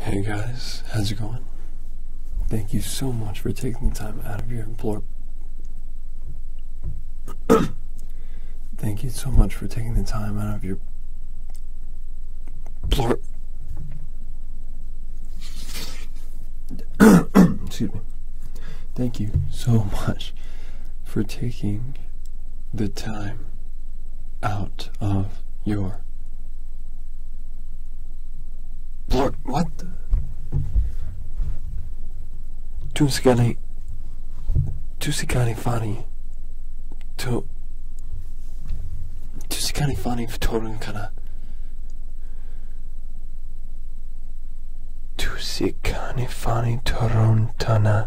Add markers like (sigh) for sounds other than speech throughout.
Hey guys, how's it going? Thank you so much for taking the time out of your (coughs) Thank you so much for taking the time out of your (coughs) Excuse me. Thank you so (laughs) much for taking the time out of your. Lord, what? Tusikani. Tusikani Fani. To. Tusikani Fani Vitorun Kana. Tusikani Fani Torontana.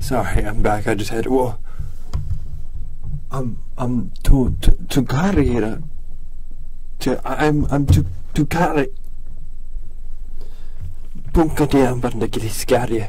Sorry, I'm back. I just had to. I'm I'm too too, carry here. To, I'm I'm too too carry. Punkade jag bara när det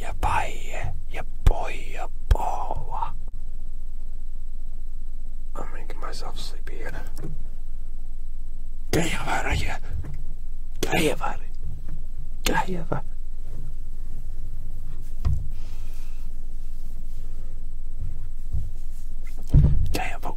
やばいやばいやば I'm making myself sleepy here. Get over here. Get over. Get over. Get over.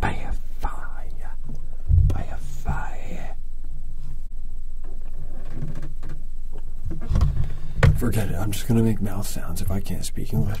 by a fire, by a fire. Forget it, I'm just gonna make mouth sounds if I can't speak English.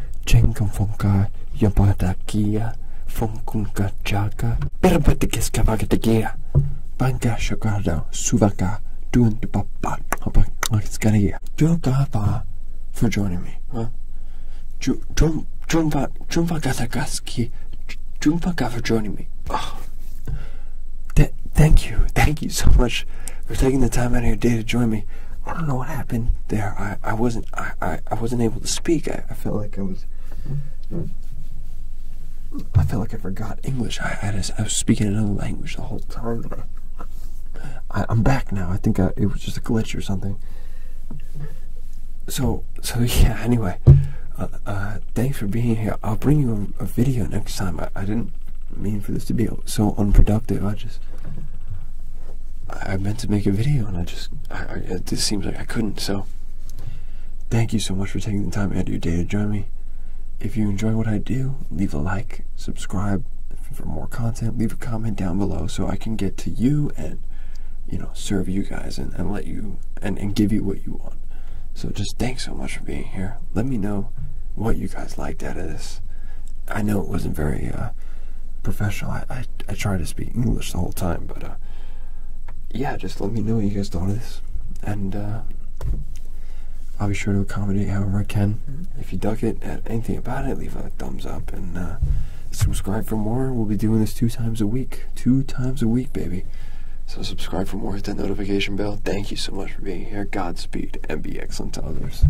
Chengam funka yabadakia funkunka chaka perbatikeskavagatagia banga shagado suvaka doing the papa skaria Jogava for joining me. Huh? Jumva Jumva Gatagaski Jumva Gava joining me. Oh. Th thank you. Thank you so much for taking the time out of your day to join me. I don't know what happened there. I, I wasn't I, I, I wasn't able to speak. I, I felt like I was I felt like I forgot English. I I, was speaking another language the whole time. I, I, am back now. I think it was just a glitch or something. So so (laughs) yeah. Anyway, uh, uh, thanks for being here. I'll bring you a, a video next time. I, I didn't I mean, for this to be so unproductive, I just. I meant to make a video and I just. I, it just seems like I couldn't, so. Thank you so much for taking the time out of your day to join me. If you enjoy what I do, leave a like, subscribe for more content, leave a comment down below so I can get to you and, you know, serve you guys and, and let you and, and give you what you want. So just thanks so much for being here. Let me know what you guys liked out of this. I know it wasn't very uh, uh, professional. I, try to speak English the whole time, but uh, yeah, just let me know what you guys thought of this, and uh, I'll be sure to accommodate however I can. Mm-hmm. If you duck it at anything about it, leave a thumbs up and subscribe for more. We'll be doing this two times a week, two times a week, baby. So subscribe for more. Hit that notification bell. Thank you so much for being here. Godspeed and be excellent to others.